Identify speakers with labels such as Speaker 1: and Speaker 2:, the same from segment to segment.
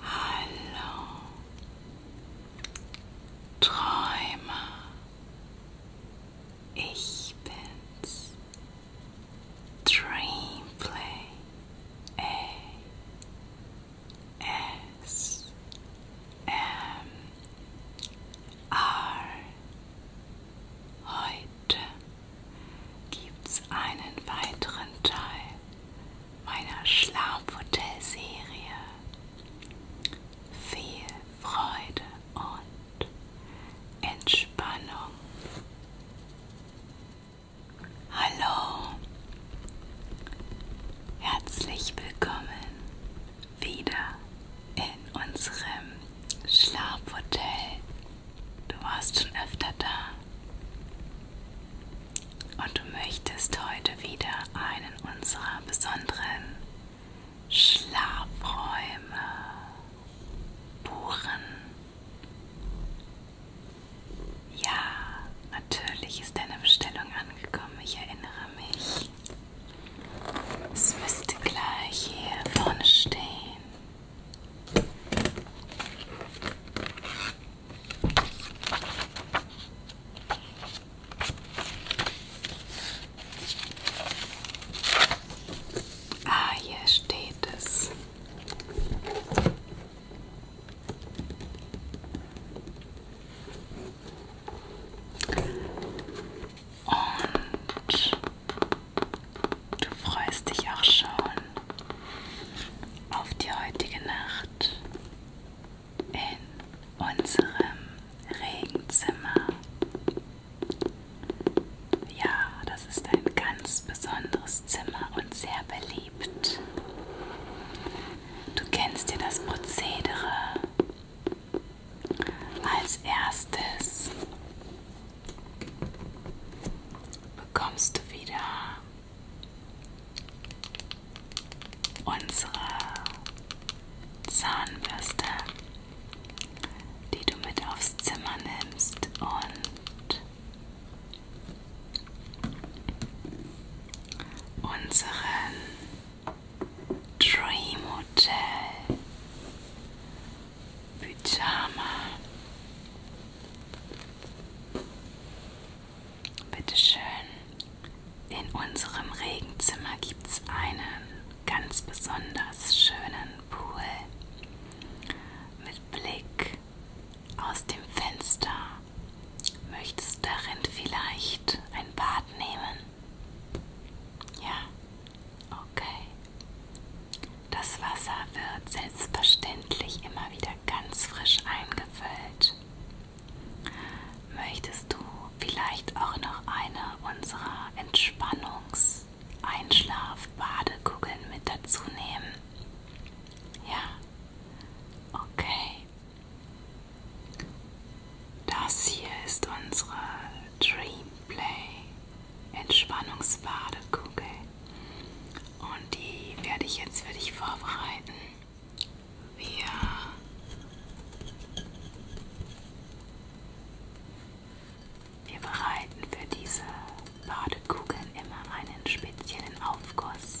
Speaker 1: Hallo Träumer, ich bin's. Dreamplay A S M R. Heute gibt's einen weiteren Teil meiner Schlafhotel-Serie. Viel Freude und Entspannung. Hallo, herzlich willkommen wieder in unserem Schlafhotel. Du warst schon öfter da und du möchtest heute wieder einen unserer besonderen Schlafräume buchen. Ja, natürlich ist deine Bestellung angekommen, ich erinnere mich. Es müsste gleich hier vorne stehen. Ah, hier steht es. Und du freust dich auch schon auf die heutige Nacht in unserem Regenzimmer. Ja, das ist ein ganz besonderes Zimmer und sehr beliebt. Du kennst dir das Prozedere. Als erstes bekommst du wieder unsere Zahnbürste, die du mit aufs Zimmer nimmst und unseren Dream Hotel Pyjama Bitte schön. In unserem Regenzimmer gibt's einen ganz besonders schönen Pool mit Blick aus dem Fenster. Möchtest du darin vielleicht ein Bad nehmen? Ja, okay. Das Wasser wird selbstverständlich immer wieder wieder ganz frisch eingefüllt. Möchtest du vielleicht auch noch eine unserer Entspannungs-Einschlaf-Badekugeln mit dazu nehmen? Ja, okay. Das hier ist unsere Dream Play Entspannungsbadekugel. Und die werde ich jetzt für dich vorbereiten. Wir wir bereiten für diese Badekugeln immer einen speziellen Aufguss.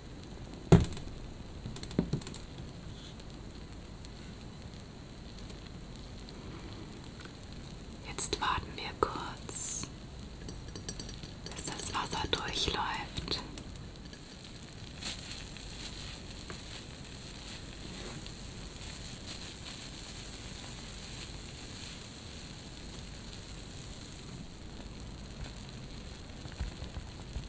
Speaker 1: Jetzt warten wir kurz, bis das Wasser durchläuft.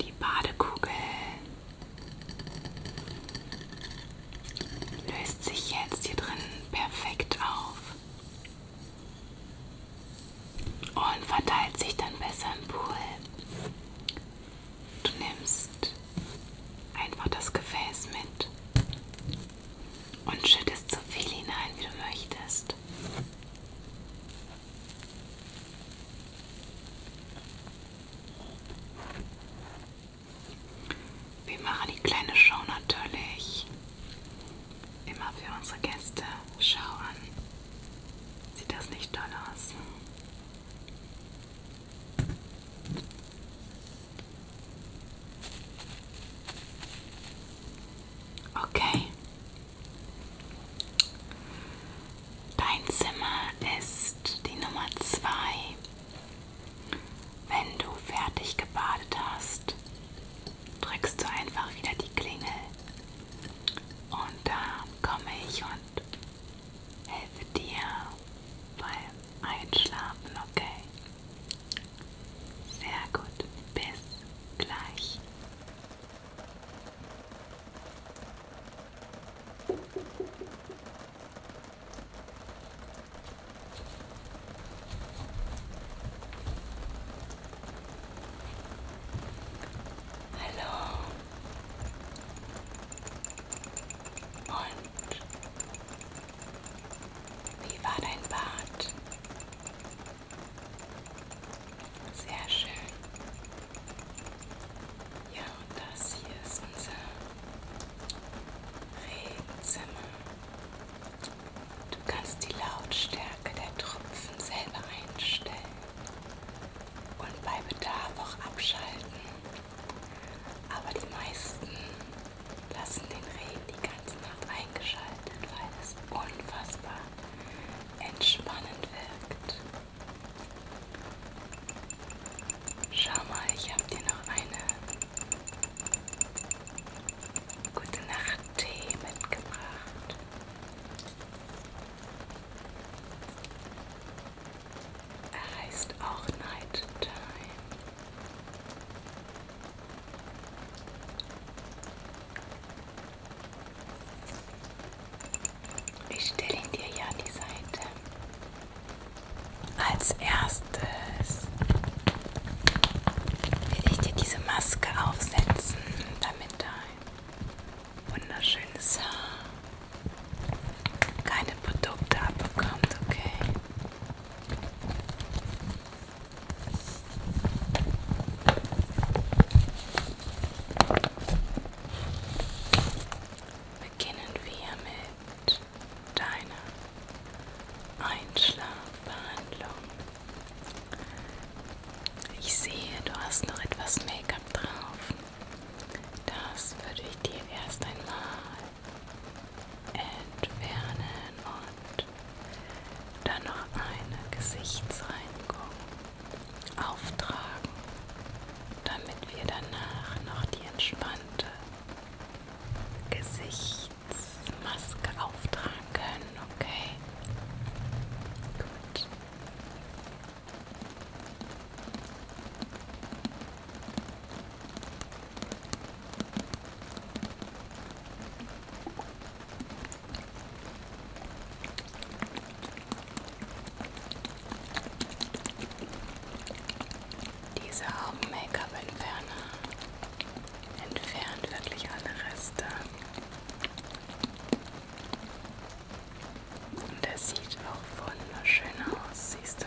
Speaker 1: Die Badekugel löst sich jetzt hier drin perfekt auf und verteilt sich dann besser im Pool. Du nimmst einfach das Gefäß mit und schüttest so viel hinein, wie du möchtest. Wir machen die kleine Show natürlich immer für unsere Gäste. Schau an. Sieht das nicht toll aus? Okay. Dein Zimmer ist die Nummer zwei. Wenn du fertig gebadet hast, drückst du einfach wieder die Klingel. Und da komme ich und helfe dir beim Einschlafen, okay? Sehr gut. Bis gleich. Hallo und wie war dein Bad? Sehr schön. Ja, und das hier ist unser Regenzimmer. Du kannst die Lautstärke der Tropfen selber einstellen und bei Bedarf auch abschalten. Aber die meisten lassen den Regen die ganze Nacht eingeschaltet, weil es unfassbar entspannend wirkt. Schau mal, ich habe dir noch eine gute Nacht-Tee mitgebracht. Er heißt auch Night Time. Ich stelle ihn dir ja an die Seite. Als erstes will ich dir diese Maske aufsetzen, damit dein wunderschönes Haar keine Produkte abbekommt, okay? Beginnen wir mit deiner Einschlafbehandlung. Ich sehe, du hast noch etwas Make-up drauf. Das würde ich dir erst einmal entfernen und dann noch eine Gesichtsreinigung auftragen, damit wir danach noch die entspannte Gesichtsmaske auftragen können, okay? Gut. Diese Augen-Make-up-Entferner entfernt wirklich alle Reste. Und er sieht auch wunderschön aus, siehst du?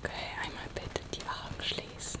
Speaker 1: Okay, einmal bitte die Augen schließen.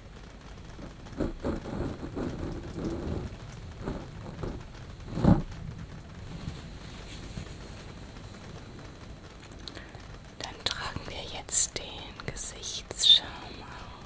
Speaker 1: Dann tragen wir jetzt den Gesichtsschaum auf.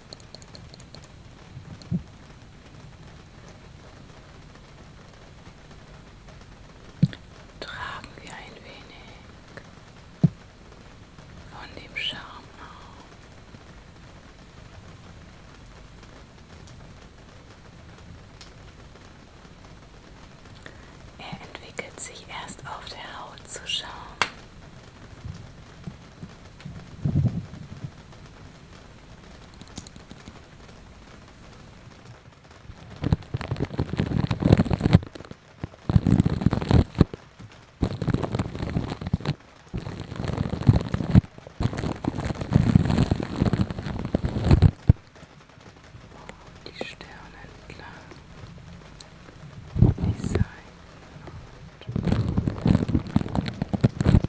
Speaker 1: Tragen wir ein wenig von dem Charme auf. Er entwickelt sich erst auf der Haut zu schauen. Die Sterne entlang, die Seiten und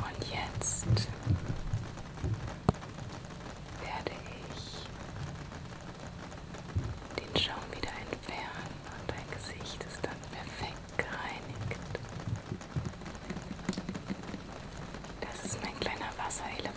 Speaker 1: Und jetzt werde ich den Schaum wieder entfernen und dein Gesicht ist dann perfekt gereinigt. Das ist mein kleiner Wasserelefant.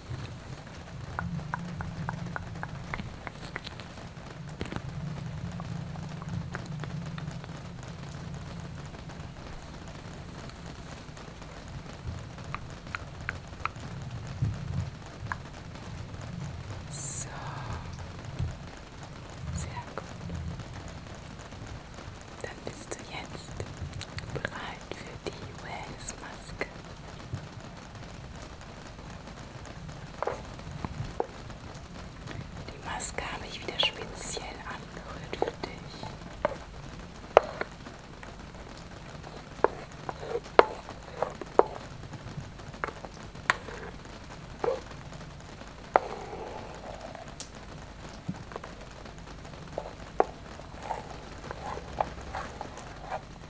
Speaker 1: So. Sehr gut. Dann bist du jetzt bereit für die Wellness-Maske. Die Maske habe ich wieder speziell angerührt für dich.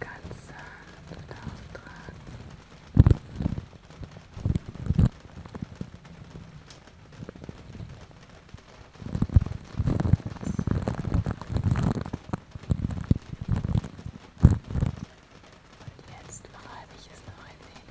Speaker 1: ganz sanft auftragen. Und jetzt reibe ich es noch ein wenig.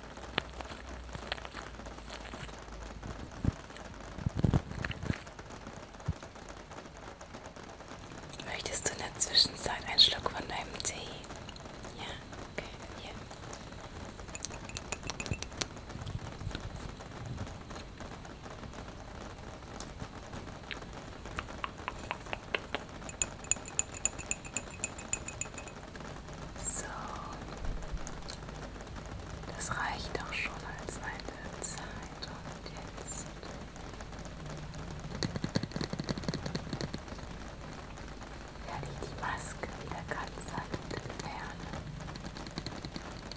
Speaker 1: Möchtest du in der Zwischenzeit einen Schluck von deinem Tee? Ja, okay, hier. So, das reicht auch schon als eine Zeit und jetzt werde ich die Maske wieder ganz sanft entfernen. So.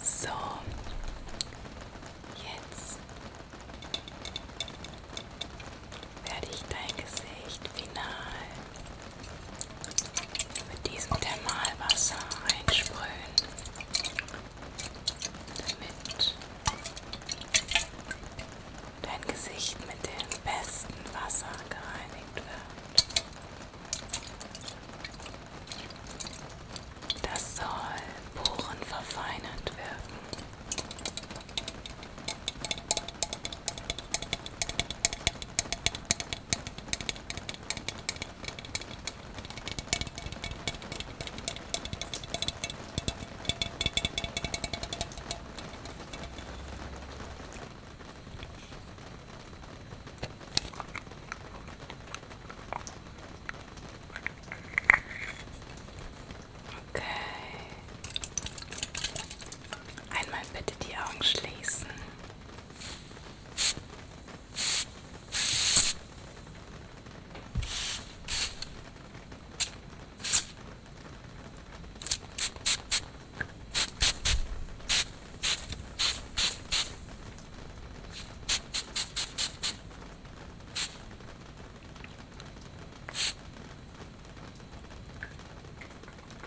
Speaker 1: So, jetzt werde ich dein Gesicht final mit diesem Thermalwasser einsprühen, damit dein Gesicht mit dem besten Wasser gereinigt wird. Das soll Poren verfeinert wirken. Okay. Einmal bitte die Augen schließen.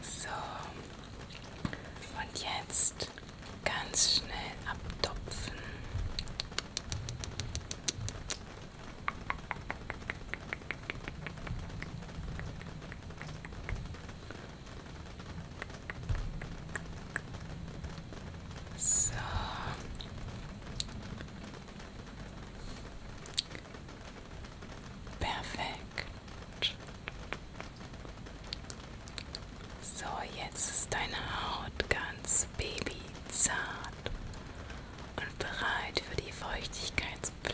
Speaker 1: So, und jetzt ganz schnell abtupfen. So. Perfekt. So, jetzt ist deine Haut ganz babyzart und bereit für die Feuchtigkeitspflege.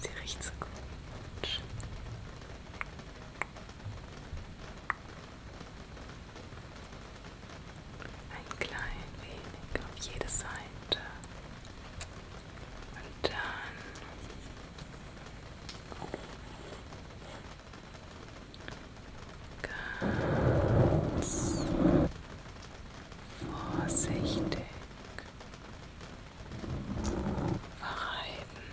Speaker 1: Sie riecht so gut. Ein klein wenig auf jede Seite. Und dann Ganz vorsichtig verreiben.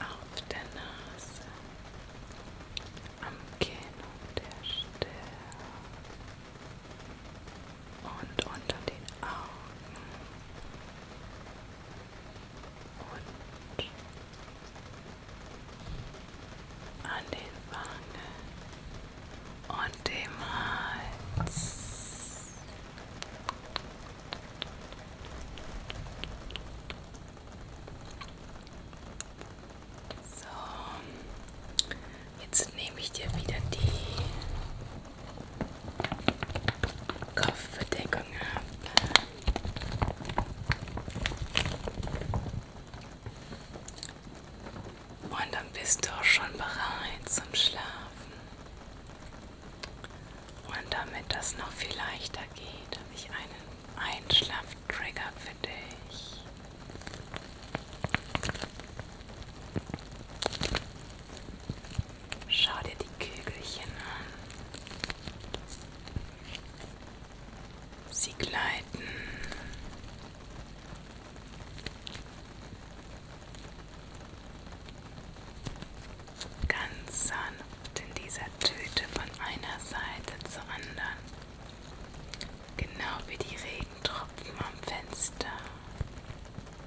Speaker 1: Auf der Nase, am Kinn und der Stirn und unter den Augen und an den Wangen und dem Hals. So, jetzt nehme ich dir wieder die Kopfbedeckung habe. Und dann bist du auch schon bereit zum Schlafen. Und damit das noch viel leichter geht, habe ich einen Einschlaftrigger für dich. Schau dir die Kügelchen an. Sie gleiten. Ganz sanft in dieser Tüte von einer Seite zur anderen. Genau wie die Regentropfen am Fenster.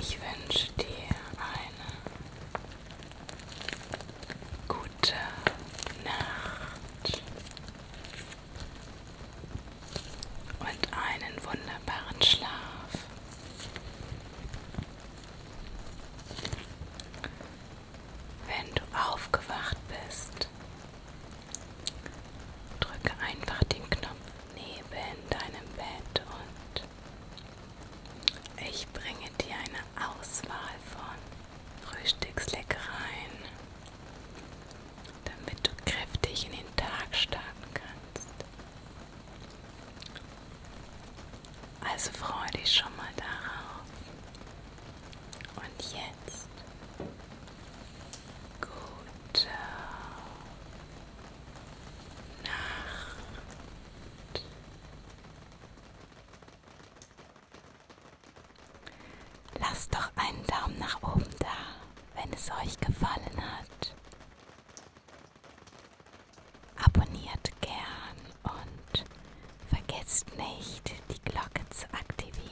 Speaker 1: Ich wünsche dir eine gute Nacht und einen wunderbaren Schlaf. Wenn du aufgewacht bist, drücke einfach den Knopf neben deinem Bett und ich bringe dir eine Auswahl von Frühstücksleckereien damit du kräftig in den Tag starten kannst. Also freue dich schon mal darauf. Und jetzt gute Nacht. Lass doch einen Daumen nach oben da wenn es euch gefallen hat. Abonniert gern und vergesst nicht, die Glocke zu aktivieren.